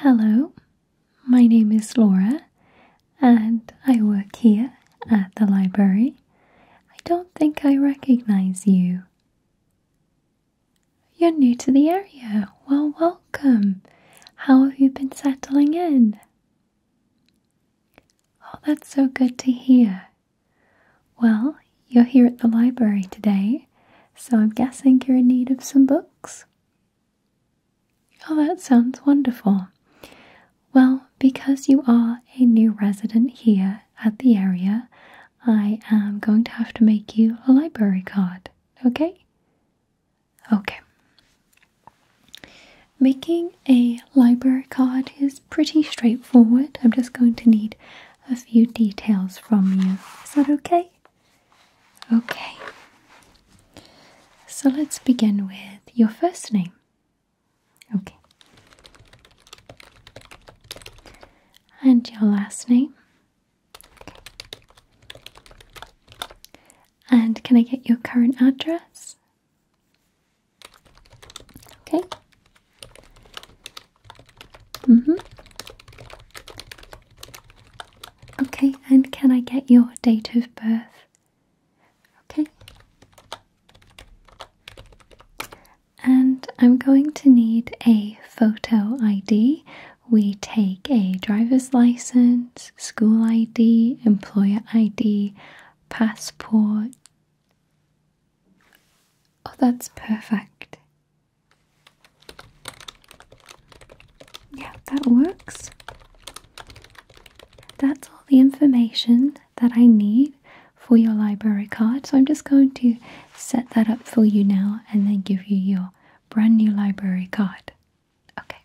Hello, my name is Laura and I work here at the library. I don't think I recognize you. You're new to the area. Well, welcome. How have you been settling in? Oh, that's so good to hear. Well, you're here at the library today, so I'm guessing you're in need of some books. Oh, that sounds wonderful. Well, because you are a new resident here at the area, I am going to have to make you a library card, okay? Okay. Making a library card is pretty straightforward. I'm just going to need a few details from you. Is that okay? Okay? So let's begin with your first name. Okay. And your last name. And can I get your current address? Okay. Mm-hmm. Okay, and can I get your date of birth? Okay. And I'm going to need a photo ID. We take a driver's license, school ID, employer ID, passport. Oh, that's perfect. Yeah, that works. That's all the information that I need for your library card. So I'm just going to set that up for you now and then give you your brand new library card. Okay.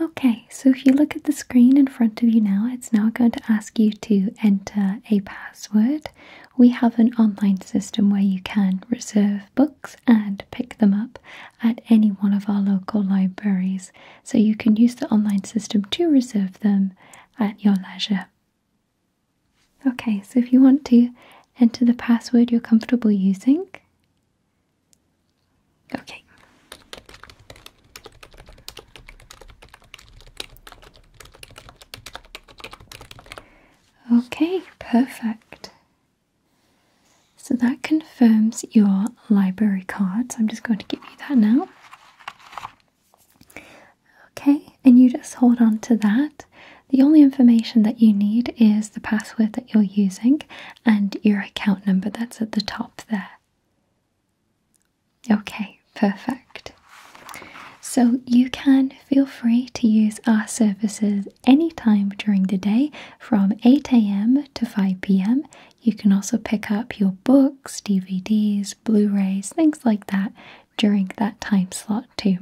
Okay, so if you look at the screen in front of you now, it's now going to ask you to enter a password. We have an online system where you can reserve books and pick them up at any one of our local libraries. So you can use the online system to reserve them at your leisure. Okay, so if you want to enter the password you're comfortable using. Okay. Okay, perfect. So that confirms your library card. So I'm just going to give you that now. Okay, and you just hold on to that. The only information that you need is the password that you're using and your account number that's at the top there. Okay, perfect. So you can feel free to use our services anytime during the day from 8 a.m. to 5 p.m. You can also pick up your books, DVDs, Blu rays, things like that during that time slot too.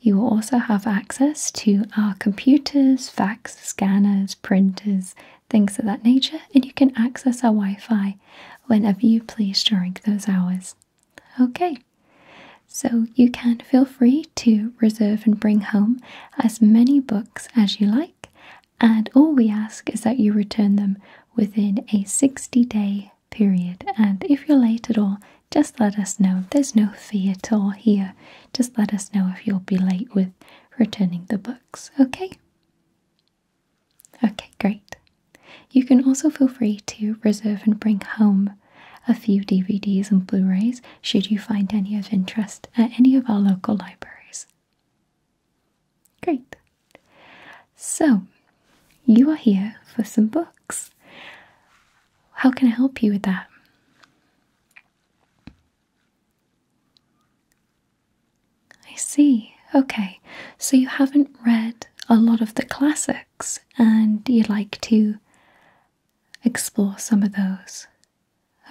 You will also have access to our computers, fax scanners, printers, things of that nature, and you can access our Wi Fi whenever you please during those hours. Okay, so you can feel free to reserve and bring home as many books as you like, and all we ask is that you return them within a 60 day period. And if you're late at all, just let us know. There's no fee at all here. Just let us know if you'll be late with returning the books, okay? Okay, great. You can also feel free to reserve and bring home a few DVDs and Blu rays should you find any of interest at any of our local libraries. Great. So, you are here for some books. How can I help you with that? I see. Okay, so you haven't read a lot of the classics and you'd like to explore some of those.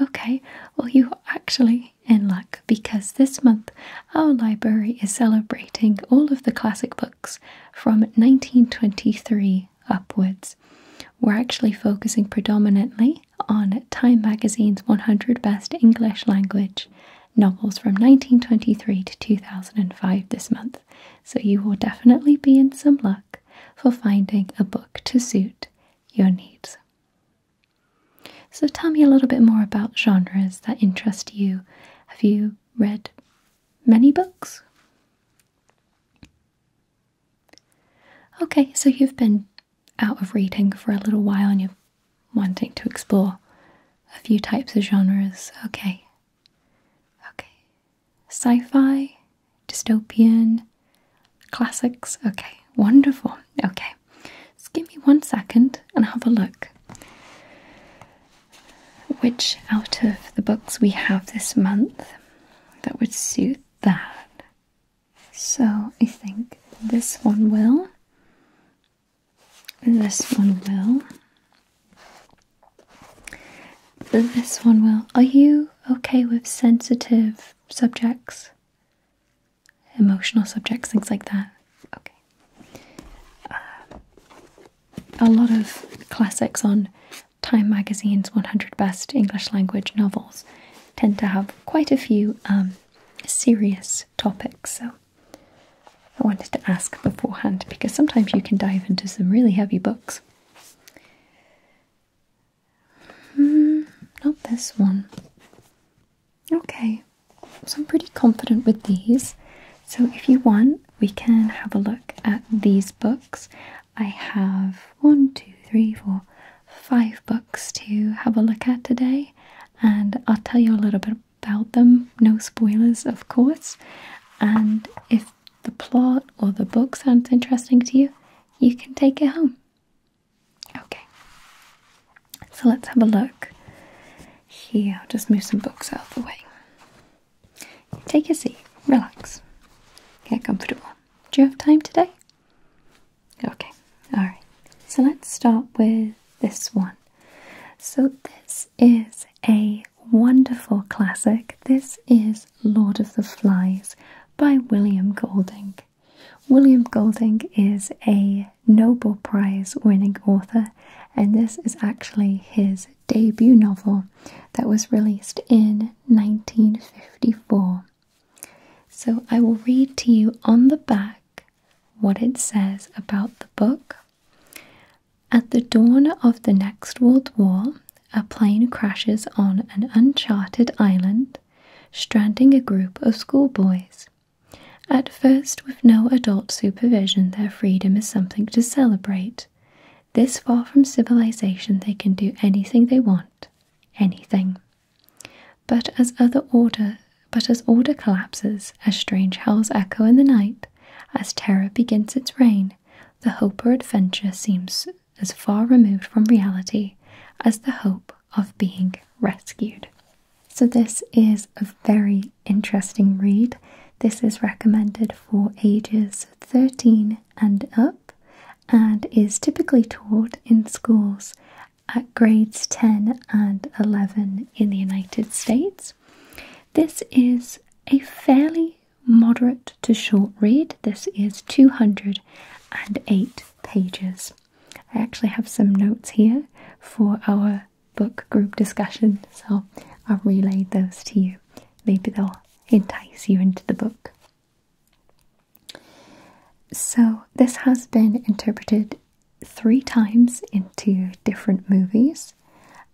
Okay, well, you're actually in luck because this month our library is celebrating all of the classic books from 1923 upwards. We're actually focusing predominantly on Time Magazine's 100 Best English Language novels from 1923 to 2005 this month, so you will definitely be in some luck for finding a book to suit your needs. So, tell me a little bit more about genres that interest you. Have you read many books? Okay, so you've been out of reading for a little while and you're wanting to explore a few types of genres, okay. Okay. Sci fi, dystopian, classics, okay. Wonderful. Okay. Just give me one second and have a look. Which out of the books we have this month that would suit that? So I think this one will. This one will. This one will. Are you okay with sensitive subjects? Emotional subjects, things like that? Okay. Uh, a lot of classics on Time Magazine's 100 Best English Language Novels tend to have quite a few um, serious topics, so I wanted to ask beforehand because sometimes you can dive into some really heavy books. Hmm, not this one. Okay, so I'm pretty confident with these. So if you want, we can have a look at these books. I have one, two, three, four, five books to have a look at today, and I'll tell you a little bit about them. No spoilers, of course. And if the plot or the book sounds interesting to you, you can take it home. Okay, so let's have a look. Here, I'll just move some books out of the way. Take a seat, relax, get comfortable. Do you have time today? Okay, alright. So let's start with this one. So, this is a wonderful classic. This is Lord of the Flies by William Golding. William Golding is a Nobel Prize winning author, and this is actually his debut novel that was released in 1954. So I will read to you on the back what it says about the book. At the dawn of the next World War, a plane crashes on an uncharted island, stranding a group of schoolboys. At first, with no adult supervision, their freedom is something to celebrate. This far from civilization, they can do anything they want. Anything. But as other order but as order collapses, as strange howls echo in the night, as terror begins its reign, the hope of adventure seems as far removed from reality as the hope of being rescued. So this is a very interesting read. This is recommended for ages 13 and up and is typically taught in schools at grades 10 and 11 in the United States. This is a fairly moderate to short read. This is 208 pages. I actually have some notes here for our book group discussion, so I'll relay those to you. Maybe they'll entice you into the book. So, this has been interpreted three times into different movies.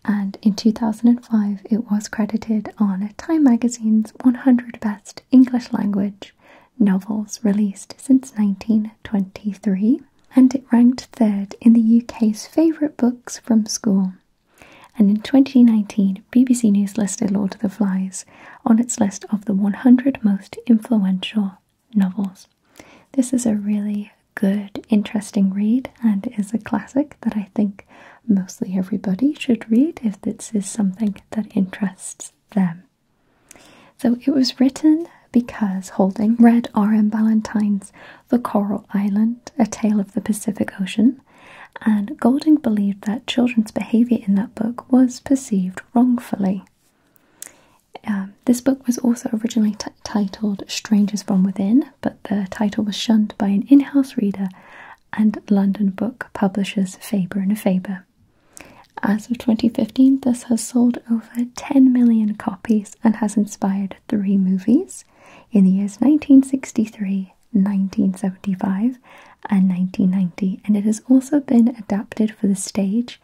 And in 2005, it was credited on Time Magazine's 100 Best English Language Novels released since 1923. And it ranked third in the UK's favourite books from school. And in 2019, BBC News listed Lord of the Flies on its list of the 100 most influential novels. This is a really good, interesting read and is a classic that I think mostly everybody should read if this is something that interests them. So it was written because Holding read R.M. Ballantyne's The Coral Island, A Tale of the Pacific Ocean, and Golding believed that children's behaviour in that book was perceived wrongfully. Um, this book was also originally titled Strangers from Within, but the title was shunned by an in house reader and London book publishers Faber and Faber. As of 2015, this has sold over 10 million copies and has inspired three movies in the years 1963, 1975, and 1990. And it has also been adapted for the stage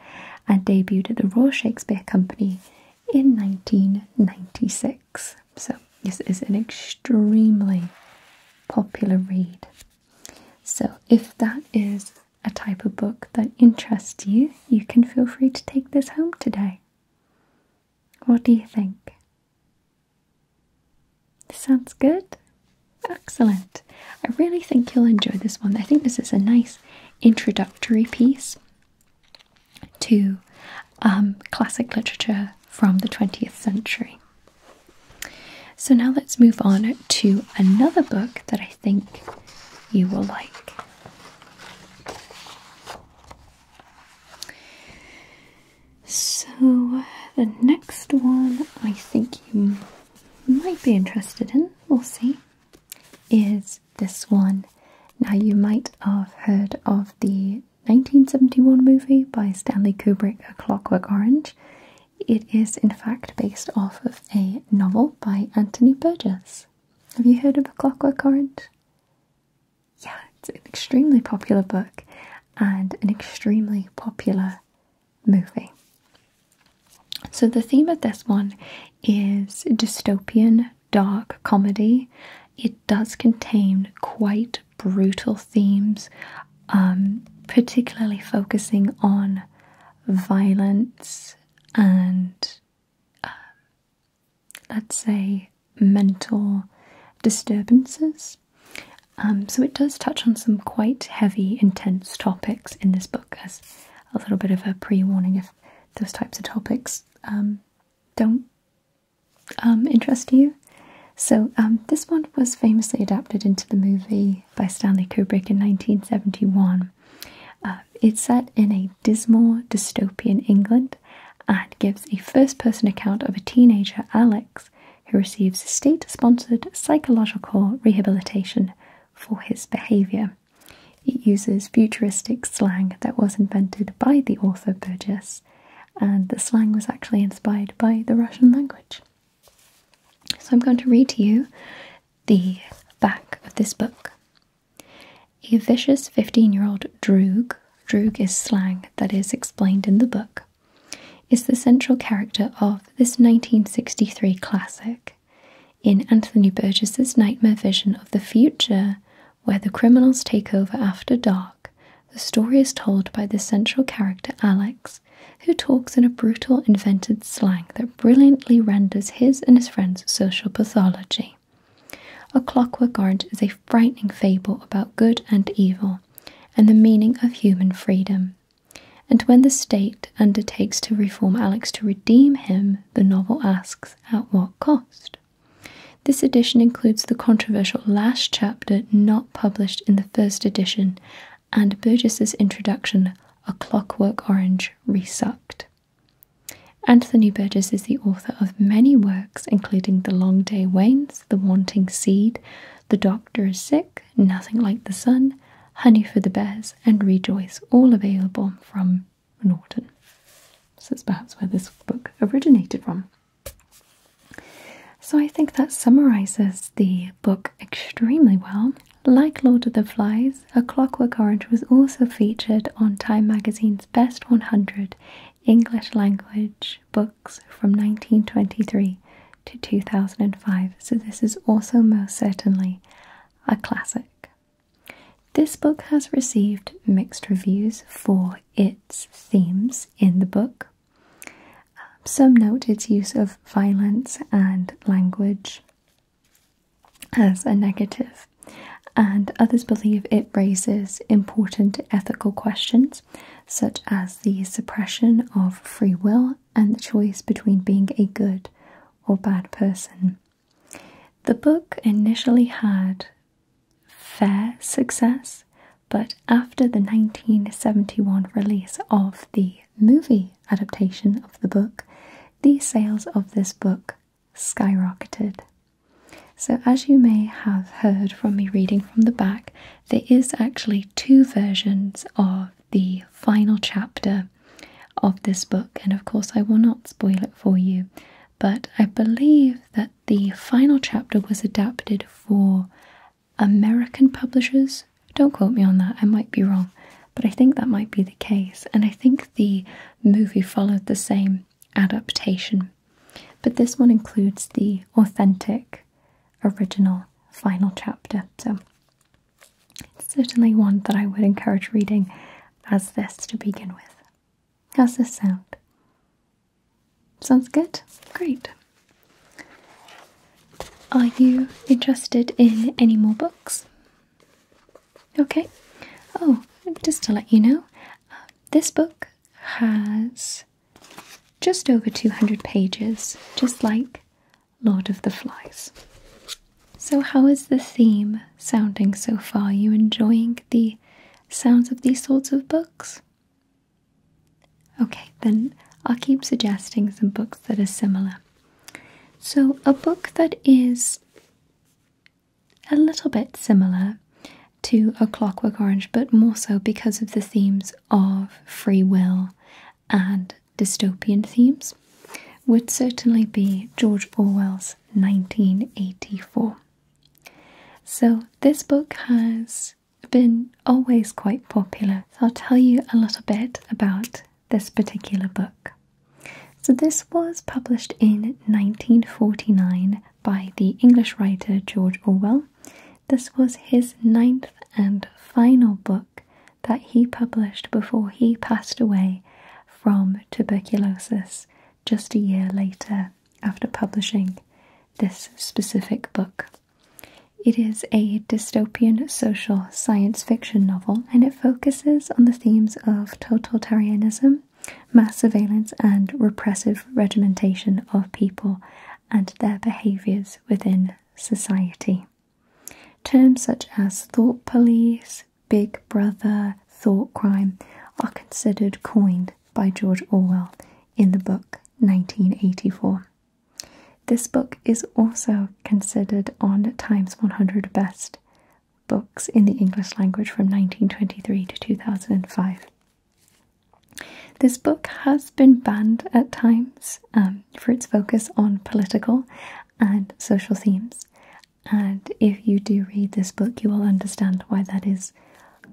and debuted at the Royal Shakespeare Company in 1996. So, this is an extremely popular read. So, if that is a type of book that interests you, you can feel free to take this home today. What do you think? Sounds good? Excellent. I really think you'll enjoy this one. I think this is a nice introductory piece to um, classic literature from the 20th century. So now let's move on to another book that I think you will like. So the next one I think you might be interested in, we'll see is this one. Now, you might have heard of the 1971 movie by Stanley Kubrick, A Clockwork Orange. It is, in fact, based off of a novel by Anthony Burgess. Have you heard of A Clockwork Orange? Yeah, it's an extremely popular book and an extremely popular movie. So, the theme of this one is dystopian dark comedy. It does contain quite brutal themes, um, particularly focusing on violence and, uh, let's say, mental disturbances. Um, so, it does touch on some quite heavy, intense topics in this book, as a little bit of a pre warning those types of topics um, don't um, interest you. So um, this one was famously adapted into the movie by Stanley Kubrick in 1971. Uh, it's set in a dismal, dystopian England and gives a first-person account of a teenager, Alex, who receives state-sponsored psychological rehabilitation for his behaviour. It uses futuristic slang that was invented by the author Burgess, and the slang was actually inspired by the Russian language. So I'm going to read to you the back of this book. A vicious 15 year old droog, droog is slang that is explained in the book, is the central character of this 1963 classic in Anthony Burgess's nightmare vision of the future, where the criminals take over after dark, the story is told by the central character Alex, who talks in a brutal, invented slang that brilliantly renders his and his friends' social pathology. A Clockwork Orange is a frightening fable about good and evil and the meaning of human freedom. And when the state undertakes to reform Alex to redeem him, the novel asks at what cost? This edition includes the controversial last chapter not published in the first edition and Burgess's introduction, A Clockwork Orange Resucked. Anthony Burgess is the author of many works, including The Long Day Wanes, The Wanting Seed, The Doctor is Sick, Nothing Like the Sun, Honey for the Bears, and Rejoice, all available from Norton. So that's perhaps where this book originated from. So I think that summarizes the book extremely well. Like Lord of the Flies, A Clockwork Orange was also featured on Time magazine's Best 100 English language books from 1923 to 2005. So this is also most certainly a classic. This book has received mixed reviews for its themes in the book. Some note its use of violence and language as a negative, and others believe it raises important ethical questions such as the suppression of free will and the choice between being a good or bad person. The book initially had fair success, but after the 1971 release of the movie adaptation of the book, the sales of this book skyrocketed. So, as you may have heard from me reading from the back, there is actually two versions of the final chapter of this book, and of course, I will not spoil it for you. But I believe that the final chapter was adapted for American publishers. Don't quote me on that, I might be wrong, but I think that might be the case. And I think the movie followed the same adaptation. But this one includes the authentic original final chapter. So it's certainly one that I would encourage reading as this to begin with. How's this sound? Sounds good? Great. Are you interested in any more books? Okay. Oh, just to let you know, uh, this book has just over 200 pages, just like Lord of the Flies. So, how is the theme sounding so far? you enjoying the sounds of these sorts of books? Okay, then I'll keep suggesting some books that are similar. So, a book that is a little bit similar to A Clockwork Orange, but more so because of the themes of free will and dystopian themes would certainly be George Orwell's 1984. So, this book has been always quite popular. So I'll tell you a little bit about this particular book. So, this was published in 1949 by the English writer George Orwell. This was his ninth and final book that he published before he passed away from tuberculosis just a year later after publishing this specific book. It is a dystopian social science fiction novel and it focuses on the themes of totalitarianism, mass surveillance, and repressive regimentation of people and their behaviours within society. Terms such as thought police, big brother, thought crime are considered coined by George Orwell in the book 1984. This book is also considered on Times 100 Best Books in the English language from 1923 to 2005. This book has been banned at times um, for its focus on political and social themes, and if you do read this book, you will understand why that is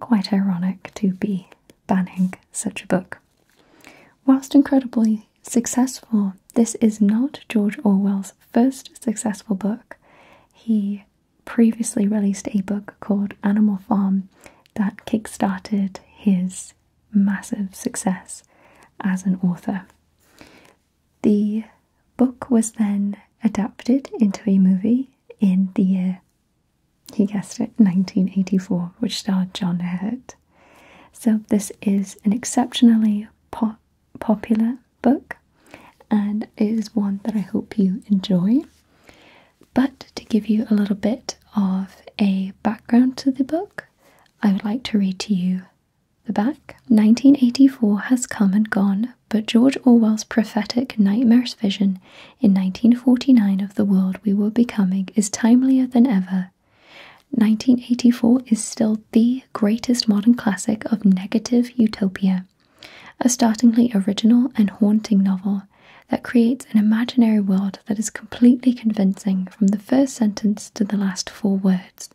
quite ironic to be banning such a book. Whilst incredibly successful, this is not George Orwell's first successful book. He previously released a book called Animal Farm that kickstarted his massive success as an author. The book was then adapted into a movie in the year, he guessed it, 1984, which starred John Hurt. So, this is an exceptionally po popular book and it is one that I hope you enjoy. But to give you a little bit of a background to the book, I would like to read to you the back. 1984 has come and gone, but George Orwell's prophetic nightmarish vision in 1949 of the world we were becoming is timelier than ever. 1984 is still the greatest modern classic of negative utopia, a startlingly original and haunting novel that creates an imaginary world that is completely convincing from the first sentence to the last four words.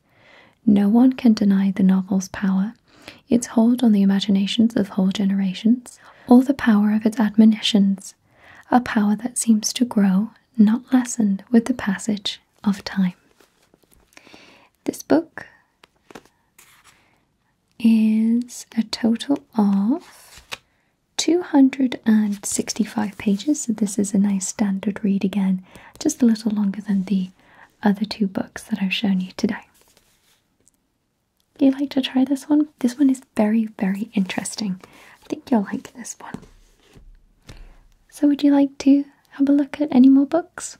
No one can deny the novel's power, its hold on the imaginations of whole generations, or the power of its admonitions, a power that seems to grow, not lessened, with the passage of time. This book is a total of 265 pages, so this is a nice standard read again, just a little longer than the other two books that I've shown you today. You like to try this one? This one is very, very interesting. I think you'll like this one. So, would you like to have a look at any more books?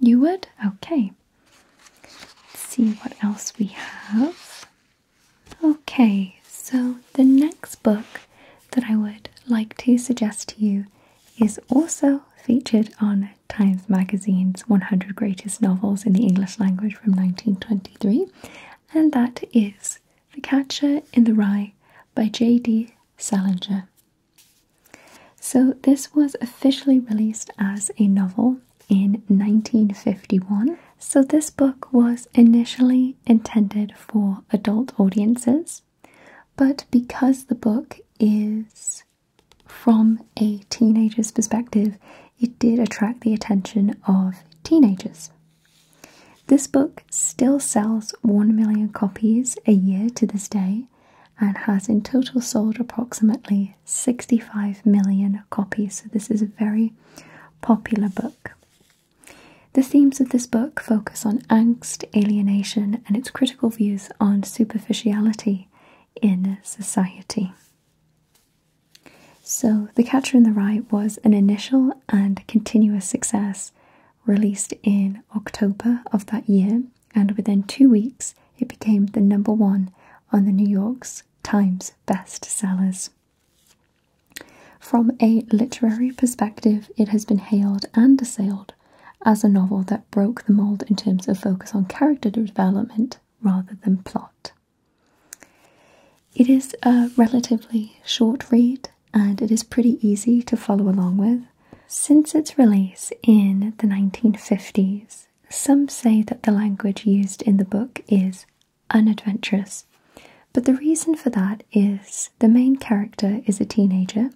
You would? Okay. Let's see what else we have. Okay, so the next book that I would like to suggest to you is also featured on Times Magazine's 100 Greatest Novels in the English Language from 1923, and that is The Catcher in the Rye by J.D. Salinger. So, this was officially released as a novel in 1951. So, this book was initially intended for adult audiences, but because the book is from a teenager's perspective, it did attract the attention of teenagers. This book still sells 1 million copies a year to this day and has in total sold approximately 65 million copies. So, this is a very popular book. The themes of this book focus on angst, alienation, and its critical views on superficiality in society. So, The Catcher in the Rye was an initial and continuous success, released in October of that year, and within two weeks, it became the number one on the New York Times bestsellers. From a literary perspective, it has been hailed and assailed as a novel that broke the mold in terms of focus on character development rather than plot. It is a relatively short read and it is pretty easy to follow along with. Since its release in the 1950s, some say that the language used in the book is unadventurous, but the reason for that is the main character is a teenager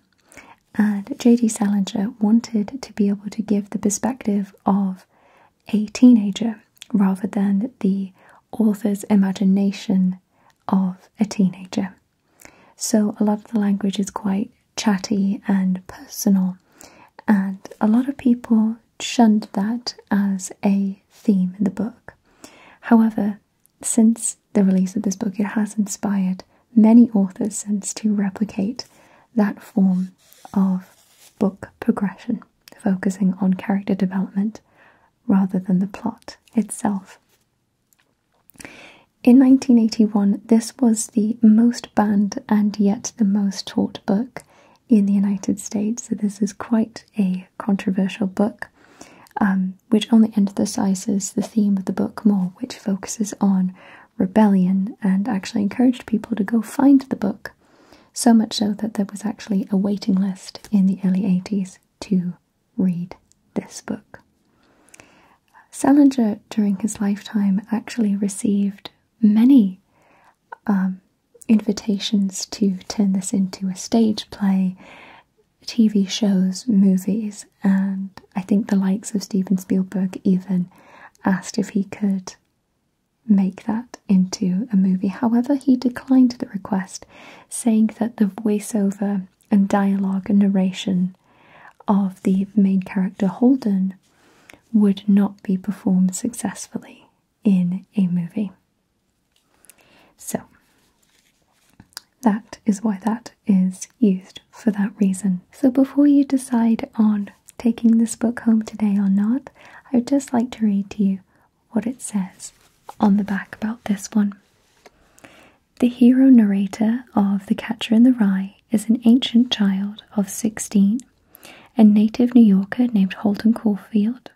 and J.D. Salinger wanted to be able to give the perspective of a teenager rather than the author's imagination of a teenager. So, a lot of the language is quite chatty and personal, and a lot of people shunned that as a theme in the book. However, since the release of this book, it has inspired many authors since to replicate that form of book progression, focusing on character development rather than the plot itself. In 1981, this was the most banned and yet the most taught book in the United States, so this is quite a controversial book. Um, which only emphasizes the theme of the book more, which focuses on rebellion and actually encouraged people to go find the book. So much so that there was actually a waiting list in the early 80s to read this book. Salinger, during his lifetime, actually received many um, invitations to turn this into a stage play, TV shows, movies, and I think the likes of Steven Spielberg even asked if he could make that into a movie. However, he declined the request, saying that the voiceover and dialogue and narration of the main character Holden would not be performed successfully in a movie. So, that is why that is used for that reason. So before you decide on taking this book home today or not, I would just like to read to you what it says on the back about this one. The hero narrator of The Catcher in the Rye is an ancient child of 16, a native New Yorker named Holden Caulfield,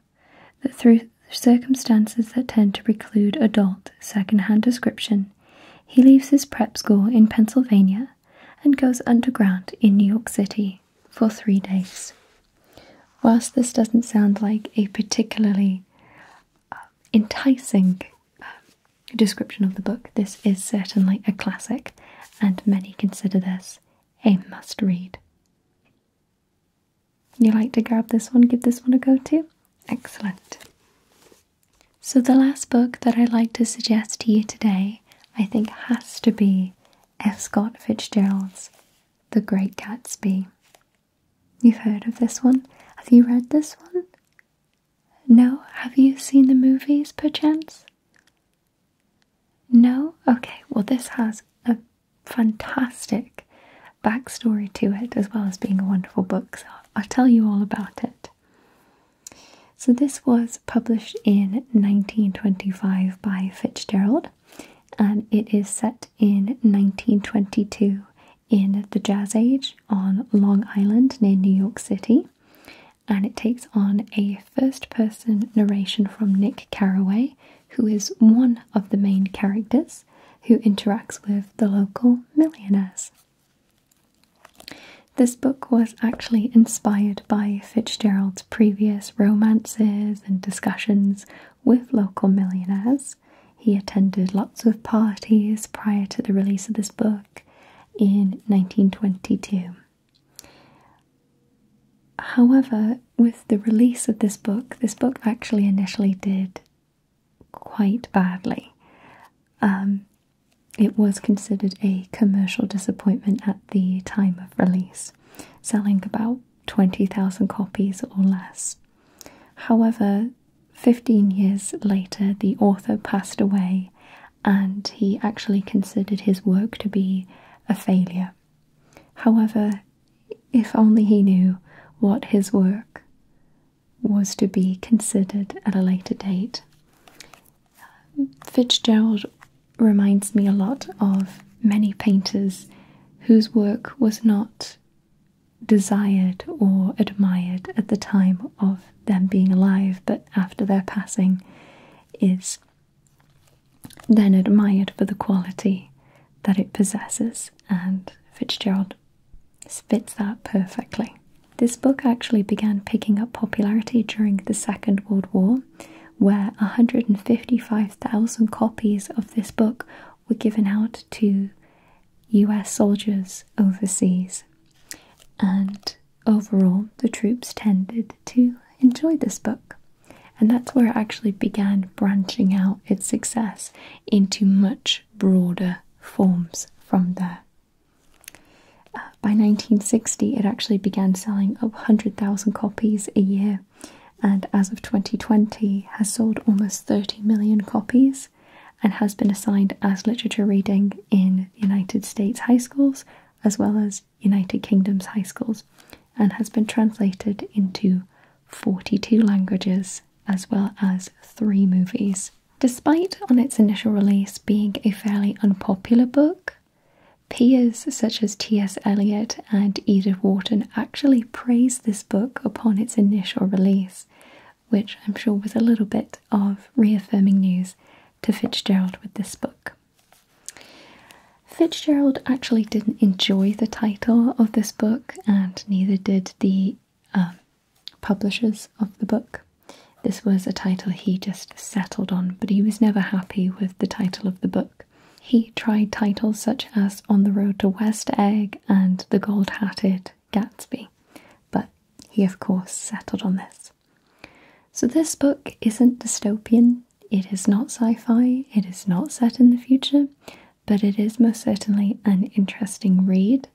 that through circumstances that tend to preclude adult second-hand description he leaves his prep school in Pennsylvania and goes underground in New York City for three days. Whilst this doesn't sound like a particularly uh, enticing uh, description of the book, this is certainly a classic, and many consider this a must read. You like to grab this one, give this one a go too? Excellent. So, the last book that I'd like to suggest to you today, I think, has to be F. Scott Fitzgerald's The Great Gatsby. You've heard of this one? Have you read this one? No? Have you seen the movies, perchance? No? Okay, well, this has a fantastic backstory to it, as well as being a wonderful book. So I'll tell you all about it. So this was published in 1925 by Fitzgerald, and it is set in 1922 in the Jazz Age on Long Island near New York City. And it takes on a first person narration from Nick Carraway, who is one of the main characters who interacts with the local millionaires. This book was actually inspired by Fitzgerald's previous romances and discussions with local millionaires. He attended lots of parties prior to the release of this book in 1922. However, with the release of this book, this book actually initially did quite badly. Um, it was considered a commercial disappointment at the time of release, selling about 20,000 copies or less. However, 15 years later, the author passed away and he actually considered his work to be a failure. However, if only he knew what his work was to be considered at a later date. Fitzgerald reminds me a lot of many painters whose work was not desired or admired at the time of them being alive, but after their passing is then admired for the quality that it possesses. And Fitzgerald this fits that perfectly. This book actually began picking up popularity during the Second World War, where 155,000 copies of this book were given out to US soldiers overseas. And overall, the troops tended to enjoy this book. And that's where it actually began branching out its success into much broader forms from there. Uh, by 1960, it actually began selling 100,000 copies a year, and as of 2020, has sold almost 30 million copies and has been assigned as literature reading in United States high schools as well as United Kingdom's high schools, and has been translated into 42 languages as well as three movies. Despite, on its initial release, being a fairly unpopular book, peers such as T.S. Eliot and Edith Wharton actually praised this book upon its initial release, which I'm sure was a little bit of reaffirming news to Fitzgerald with this book. Fitzgerald actually didn't enjoy the title of this book, and neither did the um, publishers of the book. This was a title he just settled on, but he was never happy with the title of the book. He tried titles such as On the Road to West Egg and The Gold Hatted Gatsby, but he, of course, settled on this. So, this book isn't dystopian, it is not sci fi, it is not set in the future, but it is most certainly an interesting read.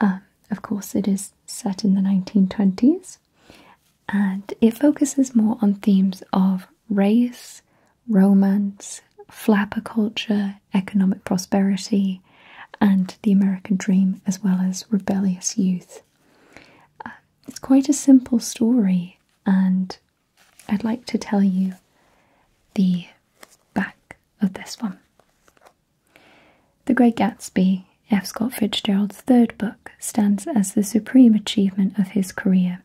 Um, of course, it is set in the 1920s and it focuses more on themes of race, romance, flapper culture, economic prosperity, and the American dream, as well as rebellious youth. Um, it's quite a simple story, and I'd like to tell you the back of this one. The Great Gatsby, F. Scott Fitzgerald's third book, stands as the supreme achievement of his career.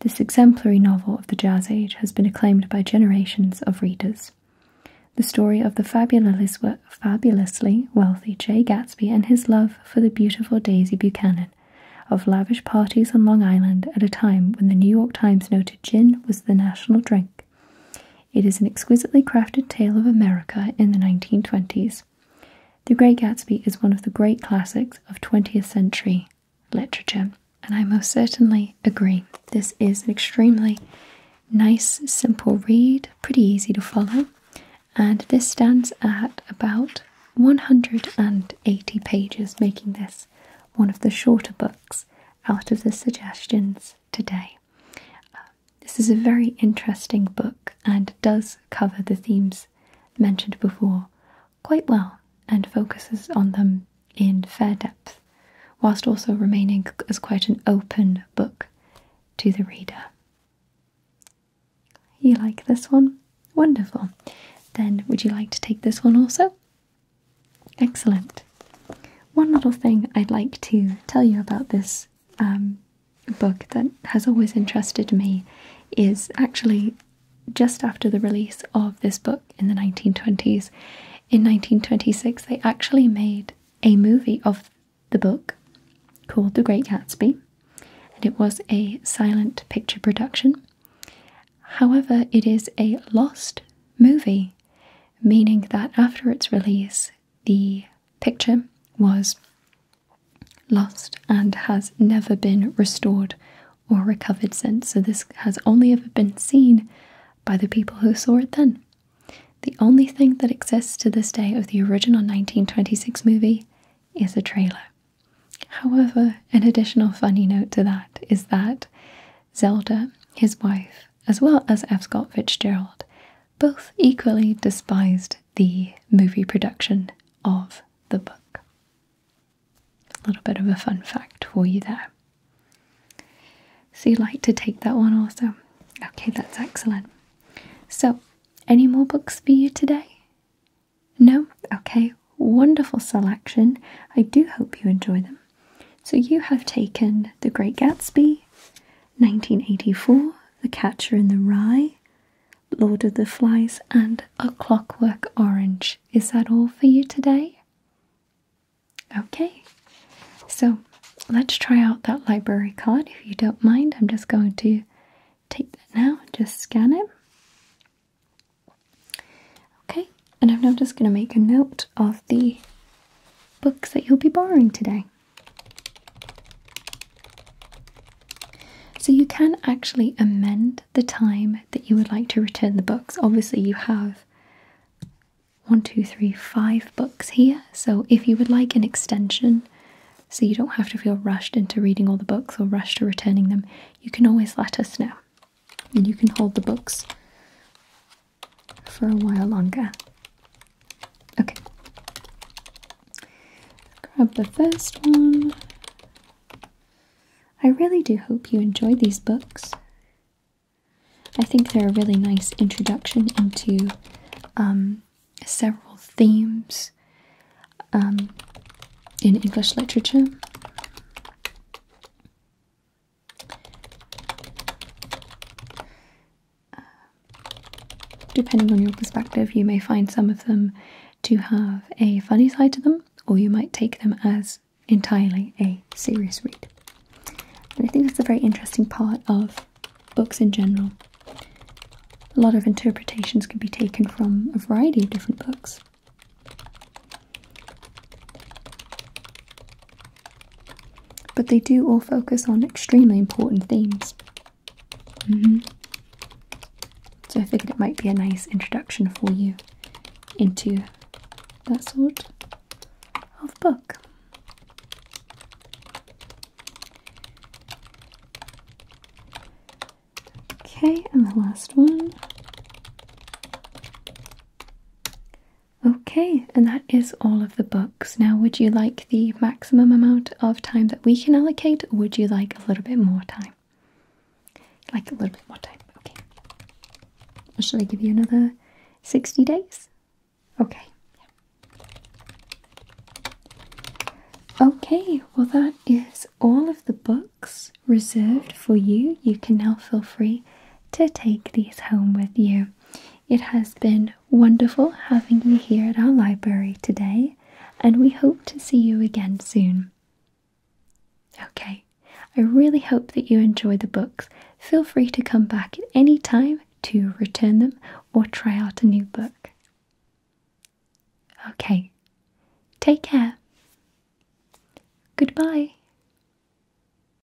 This exemplary novel of the Jazz Age has been acclaimed by generations of readers. The story of the fabulous, fabulously wealthy Jay Gatsby and his love for the beautiful Daisy Buchanan, of lavish parties on Long Island at a time when the New York Times noted gin was the national drink, it is an exquisitely crafted tale of America in the 1920s. The Great Gatsby is one of the great classics of 20th century literature, and I most certainly agree. This is an extremely nice, simple read, pretty easy to follow, and this stands at about 180 pages, making this one of the shorter books out of the suggestions today. Uh, this is a very interesting book and does cover the themes mentioned before quite well and focuses on them in fair depth, whilst also remaining as quite an open book to the reader. You like this one? Wonderful. Then would you like to take this one also? Excellent. One little thing I'd like to tell you about this um, book that has always interested me is actually just after the release of this book in the 1920s. In 1926, they actually made a movie of the book called The Great Gatsby, and it was a silent picture production. However, it is a lost movie meaning that after its release, the picture was lost and has never been restored or recovered since. So, this has only ever been seen by the people who saw it then. The only thing that exists to this day of the original 1926 movie is a trailer. However, an additional funny note to that is that Zelda, his wife, as well as F. Scott Fitzgerald, both equally despised the movie production of the book. A little bit of a fun fact for you there. So, you like to take that one also? Okay, that's excellent. So, any more books for you today? No? Okay, wonderful selection. I do hope you enjoy them. So you have taken The Great Gatsby, 1984, The Catcher in the Rye, Lord of the Flies, and A Clockwork Orange. Is that all for you today? Okay, so let's try out that library card if you don't mind. I'm just going to take that now and just scan it. Okay, and I'm now just going to make a note of the books that you'll be borrowing today. So you can actually amend the time that you would like to return the books. Obviously, you have one, two, three, five books here. So if you would like an extension, so you don't have to feel rushed into reading all the books or rushed to returning them, you can always let us know. And you can hold the books for a while longer. Okay. Grab the first one. I really do hope you enjoy these books. I think they're a really nice introduction into um, several themes um, in English literature depending on your perspective, you may find some of them to have a funny side to them, or you might take them as entirely a serious read. And I think that's a very interesting part of books in general. A lot of interpretations can be taken from a variety of different books. But they do all focus on extremely important themes. Mm-hmm. So I figured it might be a nice introduction for you into that sort of book. Okay, and the last one. Okay, and that is all of the books. Now, would you like the maximum amount of time that we can allocate, or would you like a little bit more time? Like a little bit more time, okay. should I give you another 60 days? Okay. Okay, well, that is all of the books reserved for you. You can now feel free to take these home with you. It has been wonderful having you here at our library today, and we hope to see you again soon. Okay, I really hope that you enjoy the books. Feel free to come back at any time to return them or try out a new book. Okay, take care. Goodbye.